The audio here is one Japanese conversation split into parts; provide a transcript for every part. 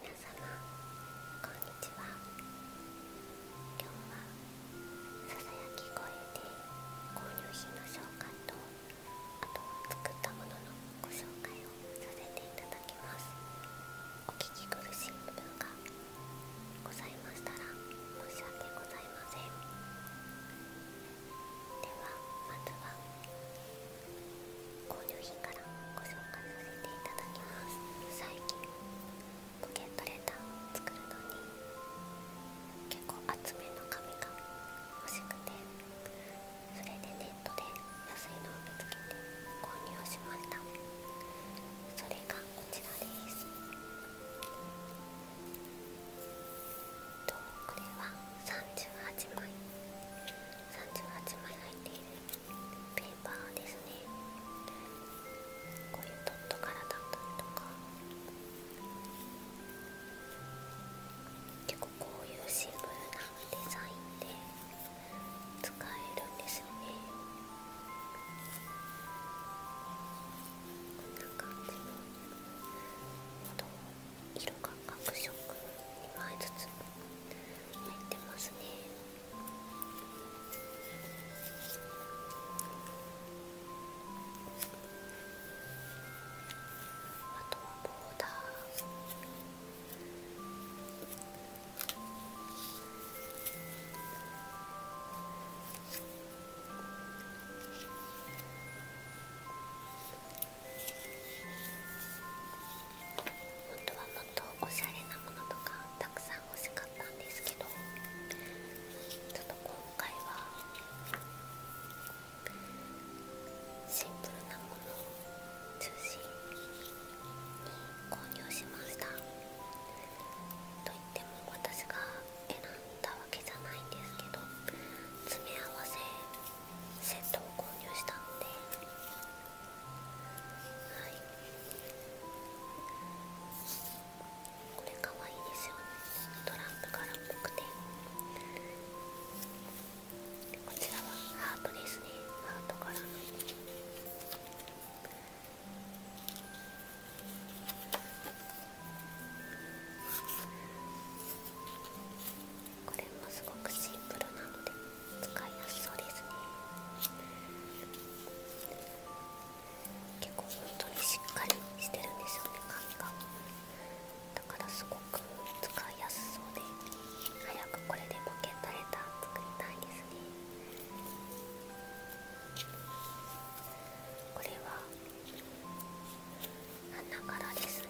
皆様こんにちは今日はささやき声で購入品の紹介とあと作ったもののご紹介をさせていただきますお聞き苦しい部分がございましたら申し訳ございませんではまずは購入品からご紹介させていただきます最近ポケットレターを作るのに結構厚めの紙が欲しくてそれでネットで安いのを見つけて購入しましたそれがこちらですとこれは38枚38枚入っているペればですねこういうドット柄だったりとか結構こういうシンプルなデザインで使えるんですよねこんな感じの色が各色2枚ずつ入ってますね。とはボーダー本当はもっとおしゃれなものとかたくさん欲しかったんですけどちょっと今回はシンプルなものを中心に購入しましたといっても私が選んだわけじゃないんですけど詰め合わせセットを購入したので。はいこれかわいいですよねトランプ柄っぽくてこちらはハートですねハート柄のこれもすごくシンプルなので使いやすそうですね結構本当にしっかりしてるんですよね髪がだからすごく使いやすそうで早くこれでポケットレター作りたいですねこれは花柄ですね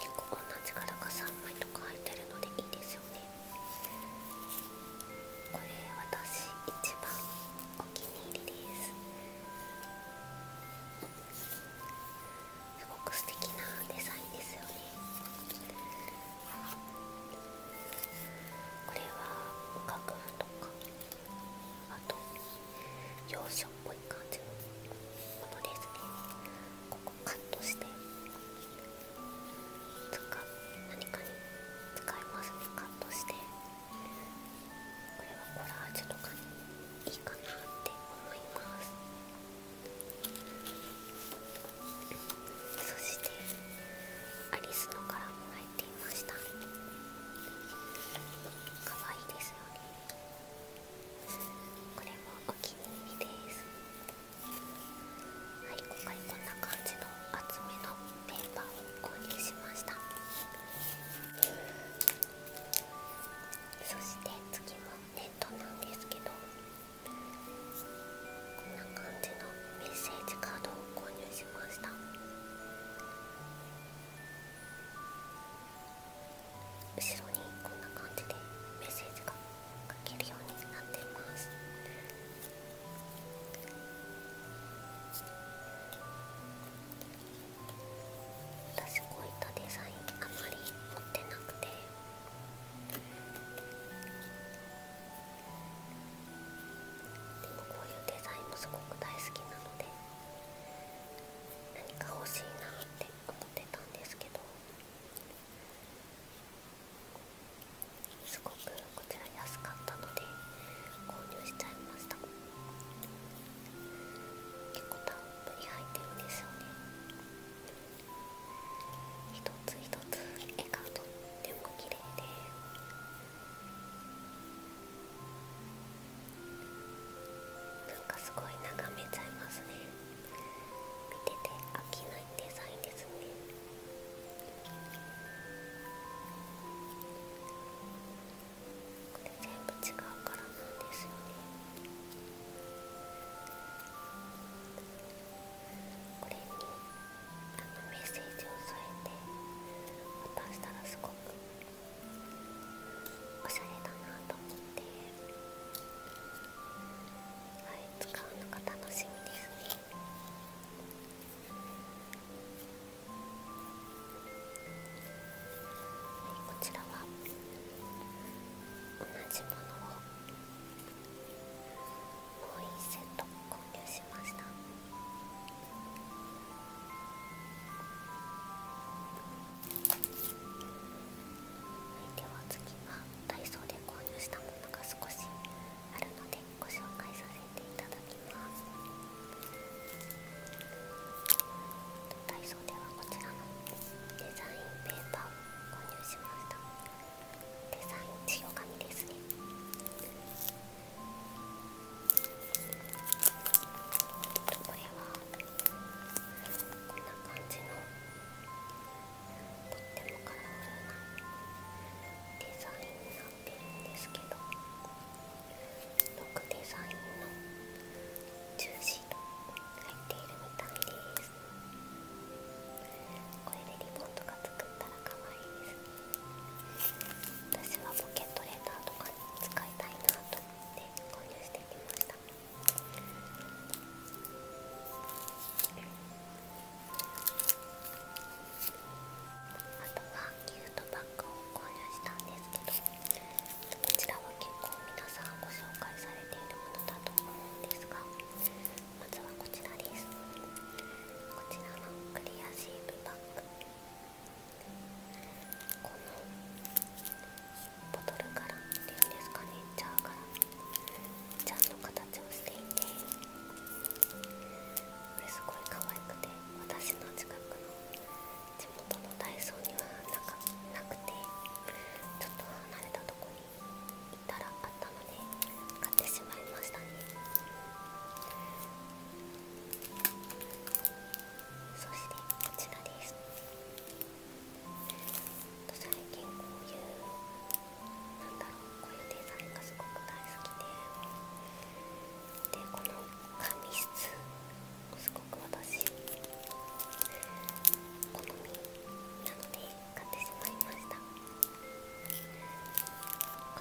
結構同じ柄が3枚とか入いてるのでいいですよねこれ私一番お気に入りですすごく素敵なデザインですよねこれは楽譜とかあと幼少っぽい感じのものですねここカットして使何かに使いますねカットしてこれはコラージュとかにいいかなって思いますそしてアリスの柄もした可愛いですよねこれもお気に入りですはい今回こんな感じの厚めのペーパーを購入しましたそして次もネットなんですけどこんな感じのメッセージカードを購入後ろにこんな感じでメッセージが書けるようになっています私こういったデザインあまり持ってなくてでもこういうデザインもすごく大好きなので何か欲しいなって思ってたんですけどすごくこちら安かったので購入しちゃいました結構たっぷり入ってるんですよね一つ一つ絵がとっても綺麗で。なんかすごい眺めちゃいますね見てて飽きないデザインですねこれ全部違う柄なんですよねこれにあのメッセージを添えて渡したらすごくおしゃれだなと思ってはい使うのが楽しみですねはいこちらは同じものをもう1セット購入しました。では次はダイソーで購入したものが少しあるのでご紹介させていただきますダイソーではこちらのデザインペーパーを購入しましたデザイン塩紙ですねこれはこんな感じのとってもカラフルなデザインになってるんですけどロックデザインのジューシーと入っているみたいですこれでリボンとか作ったら可愛いです私はポケットレターとか使いたいなと思って購入してきましたあとはギフトバッグを購入したんですけどこちらは結構皆さんご紹介されているものだと思うんですがまずはこちらですこちらのクリアシーブバッグこのボトルからっていうんですかねジャーからジャーの形をしていてこれすごい可愛くて私の近くの地元のダイソーにはなかなくてちょっと離れたとこに行ったらあったので買ってしまいましたね。そしてこちらです最近こういうなんだろうこういうデザインがすごく大好きででこの紙質もすごく私好みなので買ってしまいましたこ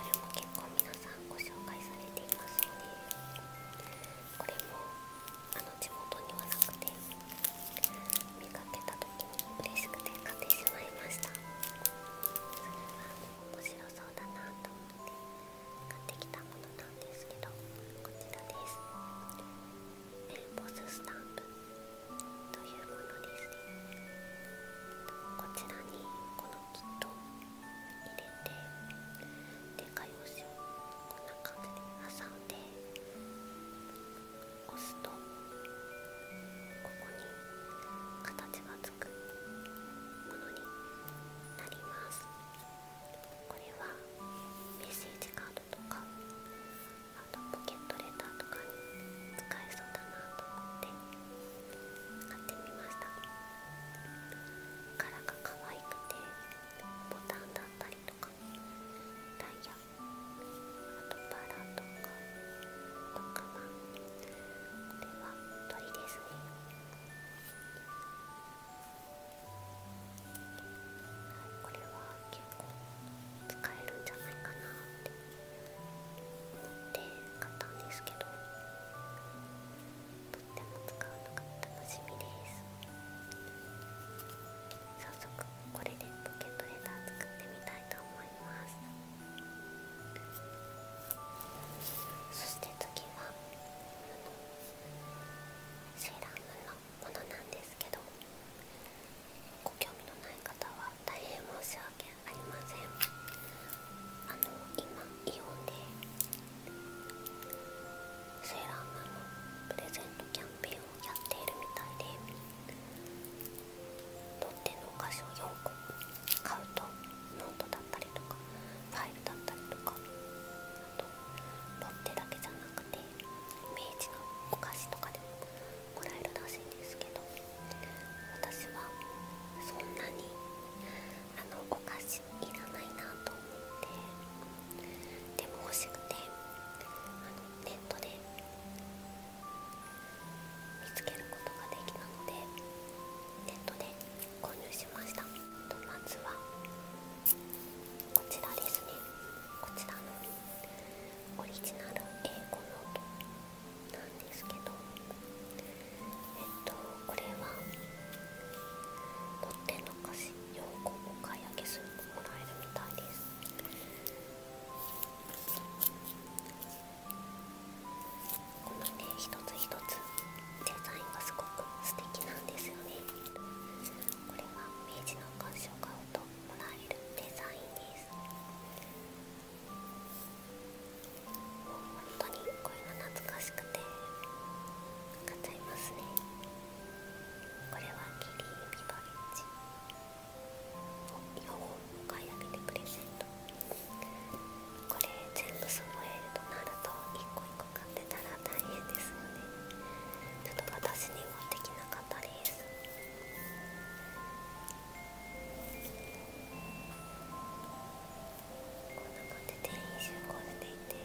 れも結構皆さんご紹介されていますのでこれもあの地元にはなくて見かけた時に嬉しくて買ってしまいましたそれは面白そうだなと思って買ってきたものなんですけどこちらですエルボススタンプというものですねこちらにこのキット入れてで画用紙をこんな感じで挟んで押すとここに形がつくものになりますこれはメッセージカードとかあとポケットレターとかに使えそうだなと思って。買ってみました柄が可愛くてボタンだったりとかダイヤあとバラとかとかはこれは鳥ですねこれは結構使えるんじゃないかなって思って買ったんですけどとっても使うのが楽しみです早速これでポケットレター作ってみたいと思いますそして次はセーラームーンのものなんですけどご興味のない方は大変申し訳ありませんあの今イオンでセーラームのプレゼントキャンペーンをやっているみたいで取っ手のお菓子をよく買うとノートだったりとかファイルだったりとかあとロッテだけじゃなくてイメージのお菓子とかでももらえるらしいんですけど私はそんなにあのお菓子いらないなと思ってでも欲しくてネットで見つけることができたのでネットで購入しましたとまずはこちらですねこちらのオリジナル英語ノートなんですけどえっとこれは持ってんのかし4個お買い上げするもらえるみたいですこのね一つ一つデザインがすごく素敵なんですよねこれは明治の鑑賞買うともらえるデザインですもう本当にこうい懐かしくて買っちゃいますねこれはキリービバレッジを4本買い上げてプレゼントこれ全部揃えるとなると1個1個買ってたら大変ですので、ちょっと私にはできなかったですここんな感じで員集合していて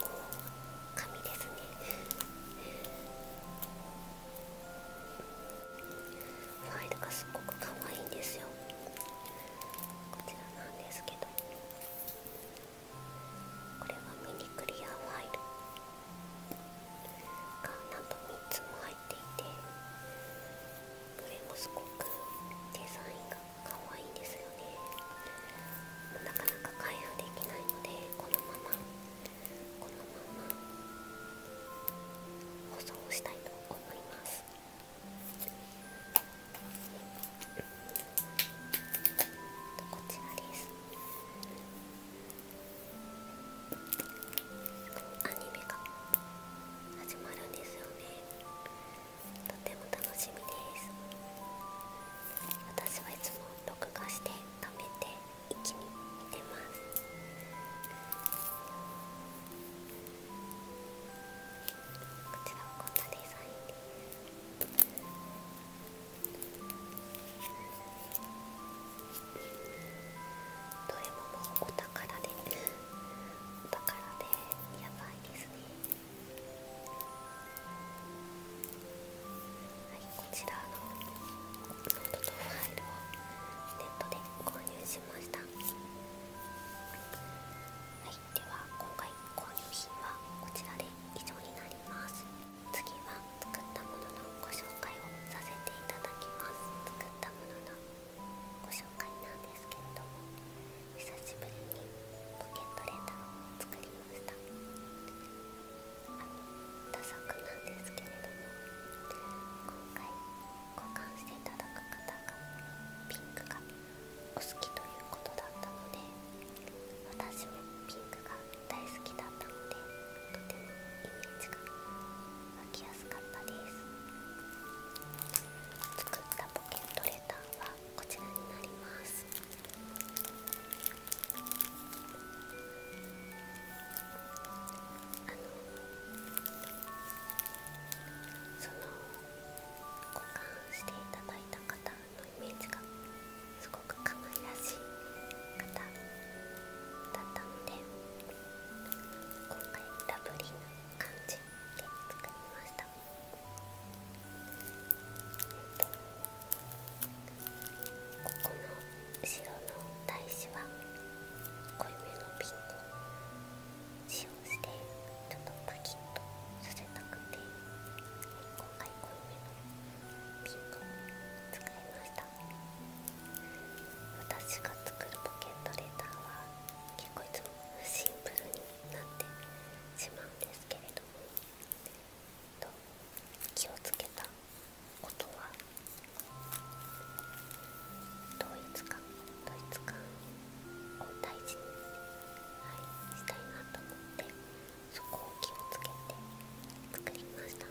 こう紙ですねファイルがすっごく可愛いんですよこちらなんですけどこれはミニクリアファイルがなんと3つも入っていてどれもすごくデザインが可愛いんですよねなかなか開封できないのでこのままこのまま保存したいと思いますこちらですアニメが始まるんですよねとても楽しみです私はいつも録画して貯めて一気に見てますこちらはこんなデザインですどれももお宝です。お宝でやばいですねはいこちらのノートとファイルをネットで購入しましたはいでは今回購入品はこちらで以上になります次は作ったもののご紹介をさせていただきます作ったもののご紹介なんですけれども久しぶりにポケットレターを作りましたあのダサくなんですけれども今回交換していただく方がピンクがお好きということだったので私もピンクが大好きだったのでとてもイメージが履やすかったです作ったポケットレターはこちらになりますその保管していただいた方のイメージがすごく可愛らしい方だったので今回ラブリ感じで作りましたここの後ろの台紙は濃いめのピンクを使用してちょっとパキッとさせたくて今回濃いめのピンクを使いました私が作るポケットレターは結いつもシンプルになってしまうんですけれどもと気をつけたことは統一感統一感を大事に、したいなと思ってそこを気をつけて作りました。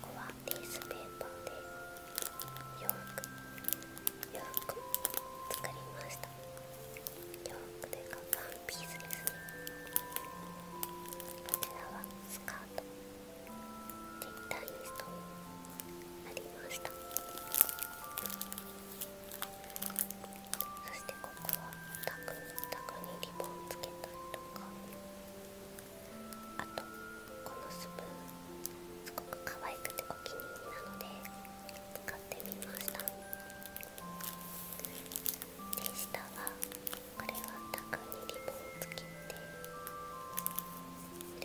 ここはピースペーパーで洋服洋服作りました洋服でいかワンピースですねこちらはスカートでダイストありましたそしてここはタグタグにリボンつけたりとか。あとこのスプーンすごく可愛くてお気に入りなので使ってみましたで下はこれはタグにリボンをつけて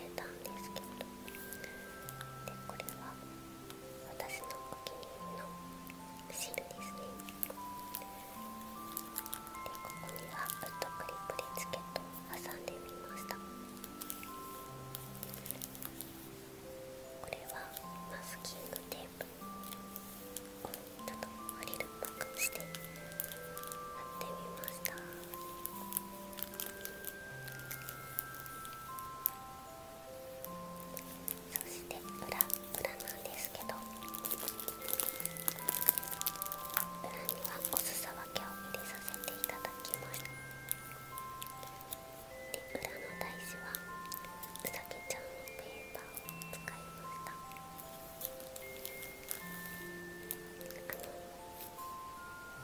入れたんですけどでこれは私のお気に入りのシールですねここにはウッドクリップでチケットを挟んでみましたこれはマスキングテープちょっとアリルっぽくして貼ってみましたそして裏裏なんですけど裏にはおすさ分けを入れさせていただきますで裏の台紙はうさぎちゃんのペーパーを使いました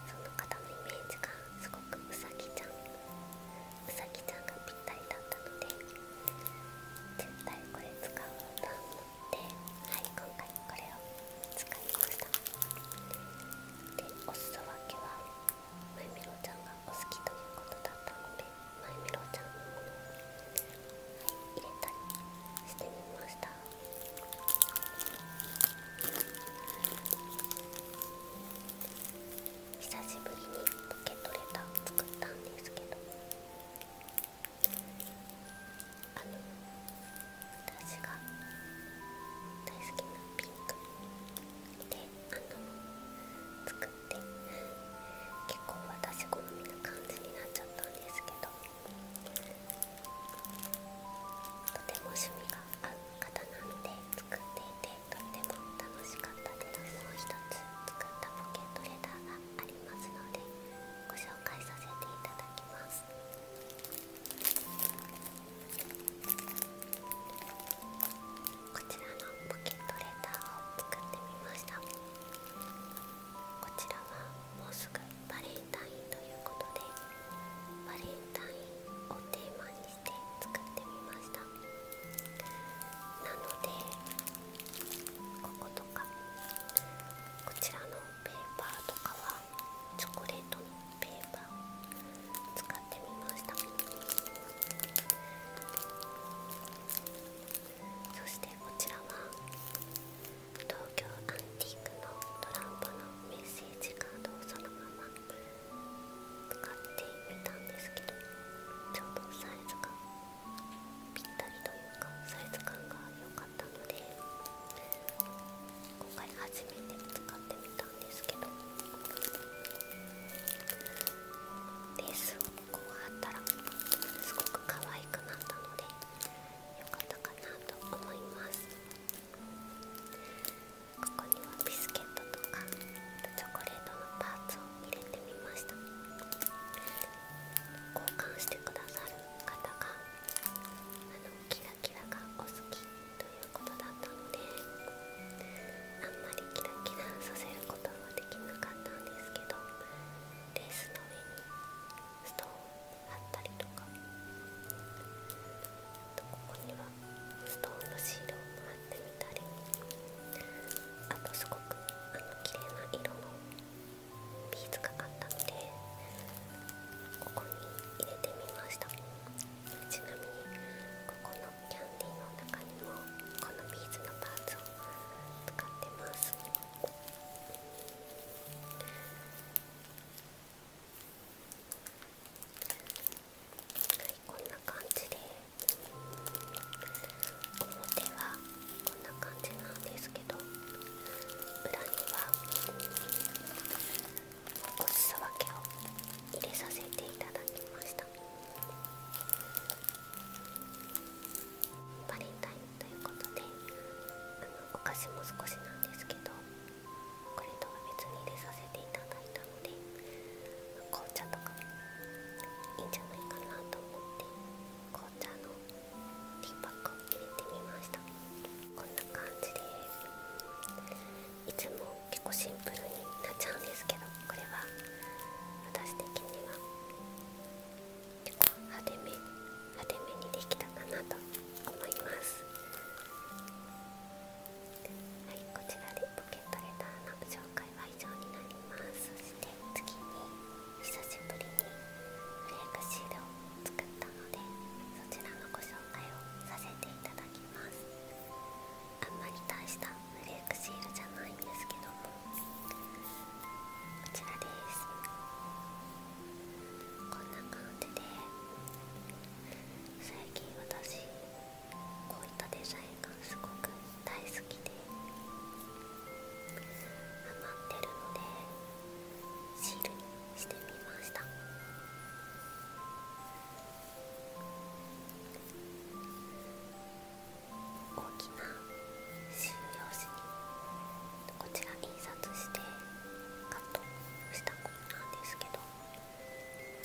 その方のイメージがすごくうさぎちゃんうさぎちゃんがぴったりだったので絶対これ使う歌もで、はい、今回これを使いましたで、おすそ分けはまゆみろちゃんがお好きということだったのでまゆみろちゃんの入れたりしてみました久しぶりにポケットレター作ったんですけどあの私が大好きなピンクであの作って結構私好みな感じになっちゃったんですけどとても趣味が合う方なので作っていてとっても楽しかったですもう一つ作ったポケットレターありますのでご紹介させていただきますこちらのポケットレターを作ってみましたこちらはもうすぐバレンタインということでバレンタインをテーマにして作ってみましたなのでこことかこちらのペーパーとかはチョコレートのペーパーを使ってみましたそしてこちらは東京アンティークのトランポのメッセージカードをそのまま使ってみたんですけどちょうどサイズが。ぴったりというかサイズ感が良かったので今回初めて使ってみたんですけどレースをここ貼ったらすごく可愛くなったので良かったかなと思いますここにはビスケットとかチョコレートのパーツを入れてみました交換してくださる方があのキラキラがお好きということだったのであんまりキラキラさせることはできなかったんですけどレースの上にストーンあったりとかあとここにはストーンのシールを貼ってみたりあとすごくあの綺麗な色の。ビーズかかったのでここに入れてみましたちなみにここのキャンディーの中にもこのビーズのパーツを使ってますはいこんな感じで表はこんな感じなんですけど裏にはおすそ分けを入れさせていただきましたバレンタインということであのお菓子も少しなんですけどこれとは別に入れさせていただいたので紅茶とかいいんじゃないかなと思って紅茶の。ティーパックを入れてみましたこんな感じでいつも結構シンプルになっちゃうんですけどこれは私的には結構派手め派手めにできたかなと思いますはいこちらでポケットレターのご紹介は以上になりますそして次に久しぶりにフレークシールを作ったのでそちらのご紹介をさせていただきますあんまり大したフレークシールじゃないんですけどもこちらですこんな感じで最近私こういったデザインがすごく大好きでハマってるのでシールにしてみました大きなシール用紙にこちら印刷してカットしたものなんですけど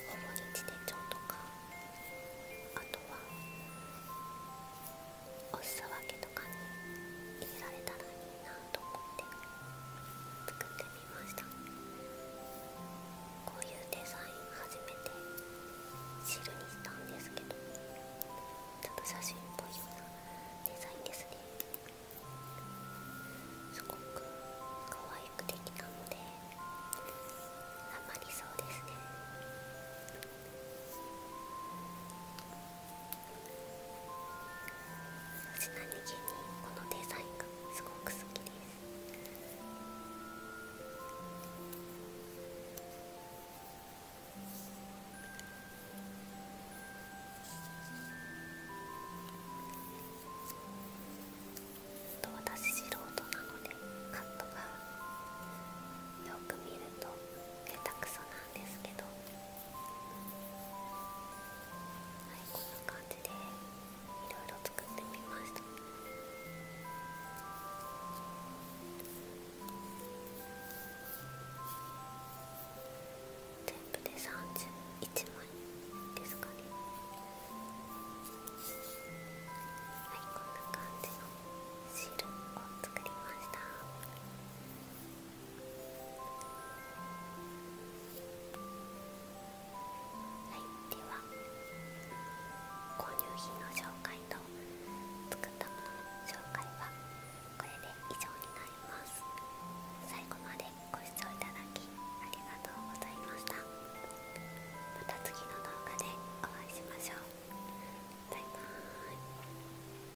ほぼ日ょ帳とかあとはお裾分けとかに入れられたらいいなと思って作ってみましたこういうデザイン初めて汁にしたんですけどちょっと写真っぽいようなデザインですねすごく可愛くできたのであまりそうですね私何気にこのデザインがすごく好きですと私素人なのでカットがよく見ると下手くそなんですけど。こんな感じでいろいろ作ってみました。全部で31枚ですかねはいこんな感じのシールを作りましたはい、では購入品の紹介と作ったものの紹介はこれで以上になります最後までご視聴いただきありがとうございましたまた次の動画でお会いしましょうバイバーイ